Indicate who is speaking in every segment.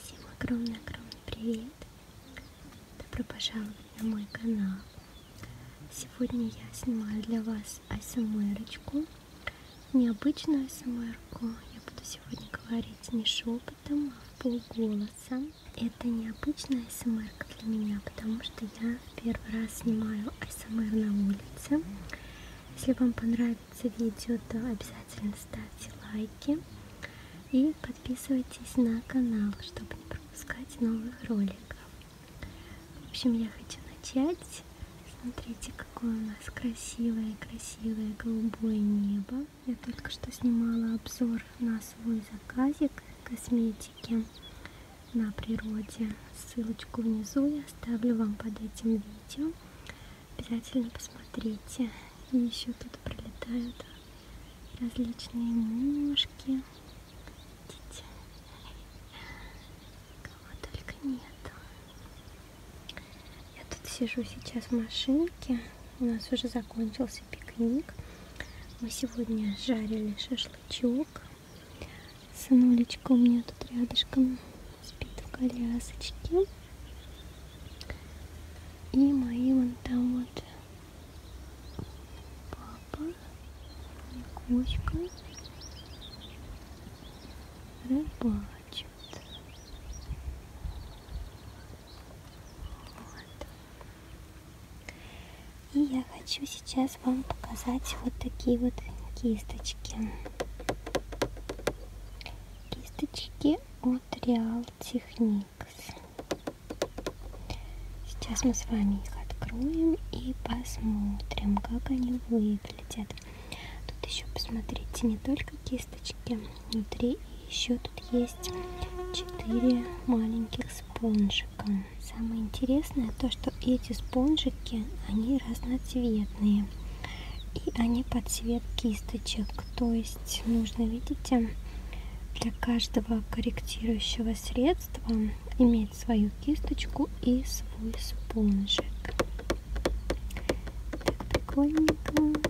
Speaker 1: Всем огромный-огромный привет! Добро пожаловать на мой канал! Сегодня я снимаю для вас асмр -очку. Необычную асмр -ку. Я буду сегодня говорить говорить не шепотом, а в полголоса. Это необычная смр эм для меня, потому что я в первый раз снимаю АСМР эм на улице. Если вам понравится видео, то обязательно ставьте лайки и подписывайтесь на канал, чтобы не пропускать новых роликов. В общем, я хочу начать Смотрите, какое у нас красивое-красивое голубое небо. Я только что снимала обзор на свой заказик косметики на природе. Ссылочку внизу я оставлю вам под этим видео. Обязательно посмотрите. И еще тут пролетают различные мушки. Видите? Кого только нету. Я тут сижу сейчас в машинке. У нас уже закончился пикник. Мы сегодня жарили шашлычок. Сынулечка у меня тут рядышком спит в колясочке. И мои вон там вот папа и кошка рыбак плачут. Вот. И я хочу сейчас вам показать вот такие вот кисточки. Кисточки от Real Techniques. Сейчас мы с вами их откроем и посмотрим, как они выглядят. Тут еще посмотрите не только кисточки внутри, еще тут есть 4 маленьких спонжика. Самое интересное то, что эти спонжики, они разноцветные. И они под цвет кисточек. То есть нужно, видите, для каждого корректирующего средства иметь свою кисточку и свой спонжик. Так, прикольненько.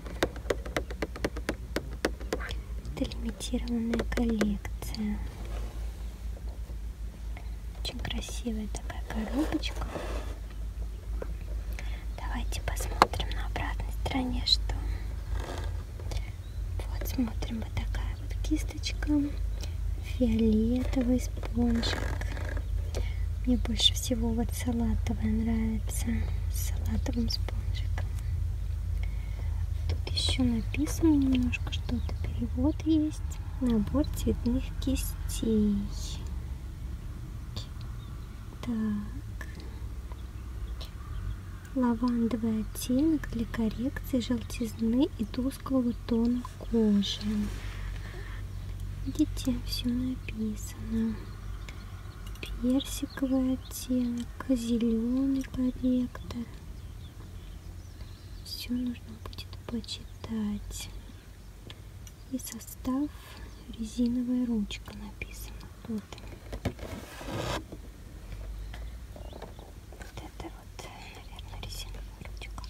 Speaker 1: Это лимитированная коллекция. Очень красивая такая коробочка. Давайте посмотрим на обратной стороне, что. Вот смотрим, вот такая вот кисточка. Фиолетовый с здесь лончик. Мне больше всего вот салатовая нравится. С салатовым спонжиком. Тут еще написано немножко что-то. Перевод есть. Набор цветных кистей. Так. Лавандовый оттенок для коррекции желтизны и тусклого тона кожи. Видите, все написано написано персиковый оттенок, зеленый корректор. Все нужно будет почитать. И состав резиновая ручка написана тут. Вот это вот, наверное, резиновая ручка.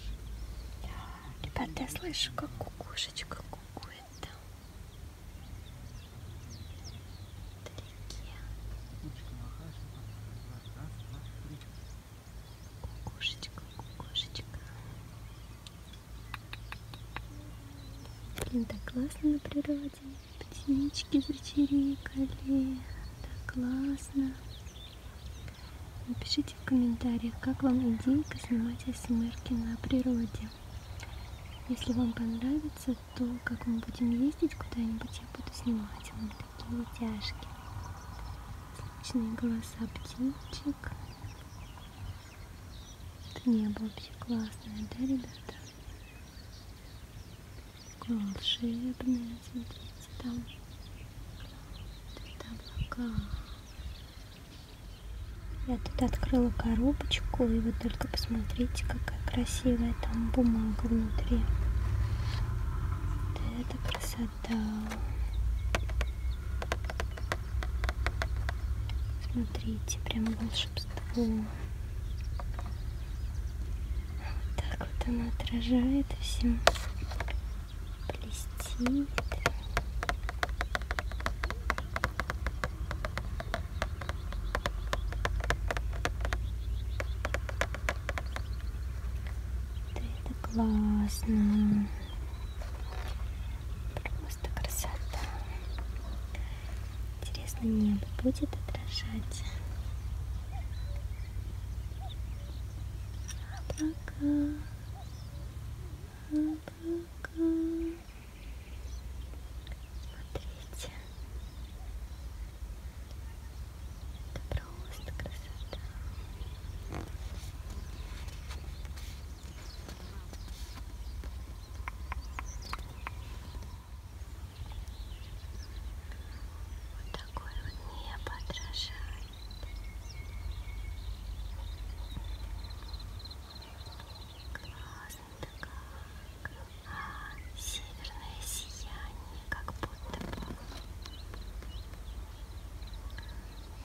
Speaker 1: Ребята, я слышу, как кукушечка какое-то вдалеке. Кукушечка, кукушечка. Блин, так классно на природе. Птички зачирикали. Так классно. Напишите в комментариях, как вам идейка снимать осьмерки на природе. Если вам понравится, то как мы будем ездить куда-нибудь, я буду снимать вам такие тяжки. Слышные голоса птичек. Это небо вообще классное, да, ребята? Такое волшебное, смотрите, там. Тут облака. Я тут открыла коробочку, и вы только посмотрите, какая красивая там бумага внутри. Вот это красота. Смотрите, прям волшебство. Вот так вот она отражает все блестит. Да это классно. Просто красота. Интересно, небо будет отражать. облака. Смотрите. Это просто красота. Вот такое вот небо отражает. Классно-то как. А, северное сияние, как будто бы.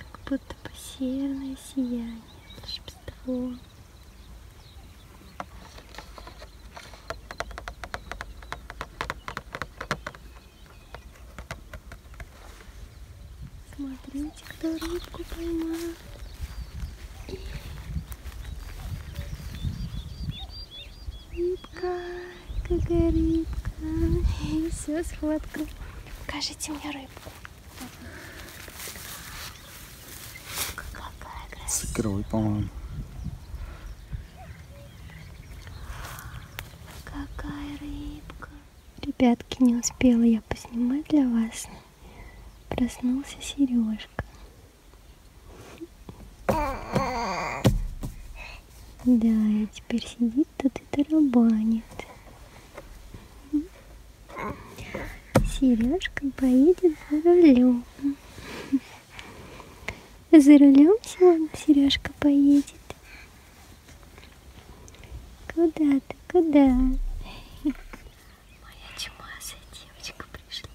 Speaker 1: Как будто бы северное сияние, волшебство. Смотрите, кто рыбку поймал. Рыбка, какая рыбка. И все, схватка. Покажите мне рыбку. С икрой, по-моему. Какая рыбка. Ребятки, не успела я поснимать для вас. Проснулся Сережка. Да, и теперь сидит тут и тарабанит. Сережка поедет за рулем. За рулем сегодня Сережка поедет. Куда ты, куда? Моя чумазая девочка пришла.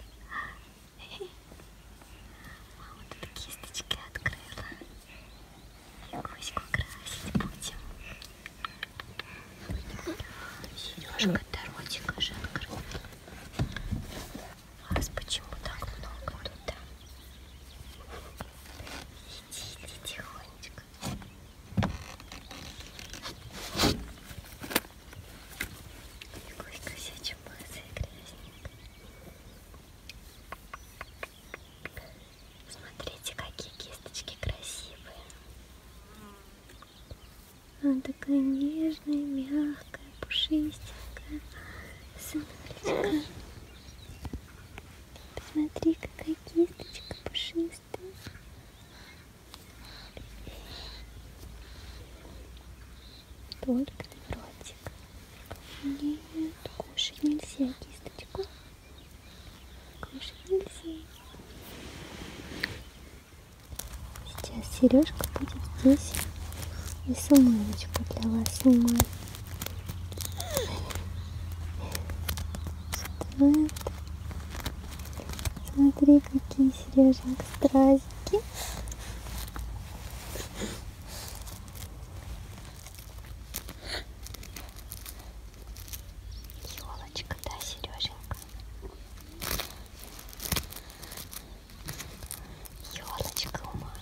Speaker 1: Мама тут кисточки открыла. И гуську красить будем. Сережка Таротика же открыла. Вас почему так много тут? летели тихонечко. Какой косячий мазый грязник. Смотрите, какие кисточки красивые. Она такая нежная, мягкая, пушистенькая. Смотрите, Посмотри, какая кисточка пушистая. Только ротик. Нет, кушать нельзя кисточку. Кушать нельзя. Сейчас сережка будет здесь. И сумочку для вас снимаю. Шоколад. Смотри, какие сережинки, стразики. Елочка, да, Сереженька? Елочка у мамы.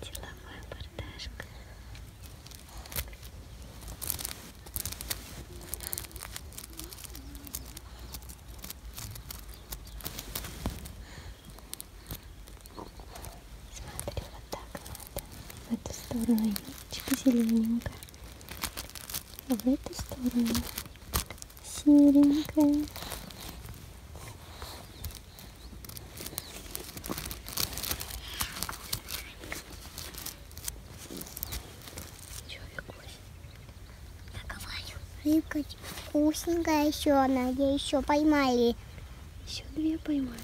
Speaker 1: Тепловая бордашка. Смотри вот так в эту сторону немножечко зелененькая, а в эту сторону серенькая. Рыбка вкусненькая еще, Надя, еще поймали. Еще две поймали.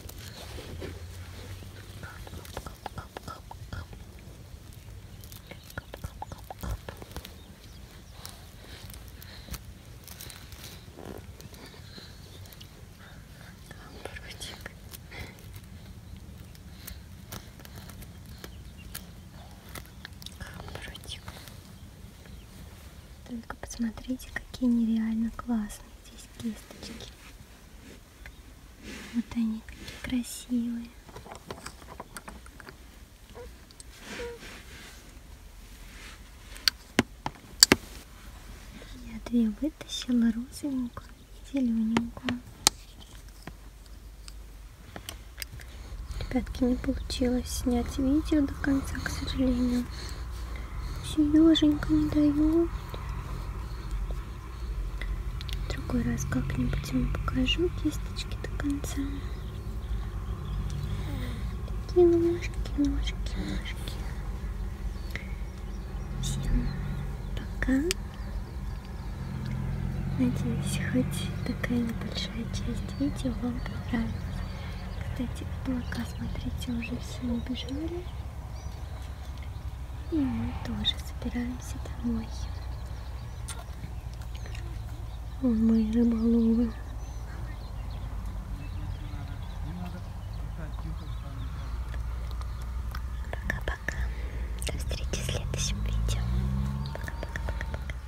Speaker 1: Амбрутик. Амбрутик. Только посмотрите, какие нереально классные здесь кисточки. Вот они такие красивые. Я две вытащила розовенькую и зелененькую. Ребятки, не получилось снять видео до конца, к сожалению. Сереженька не дает. В другой раз как-нибудь ему покажу кисточки до конца. Такие ножки, ножки, ножки. Всем пока. Надеюсь, хоть такая небольшая часть видео вам понравилась. Кстати, облака, смотрите, уже все убежали. И мы тоже собираемся домой. Вон мои рыболовы. Пока-пока. До встречи в следующем видео. Пока-пока-пока-пока.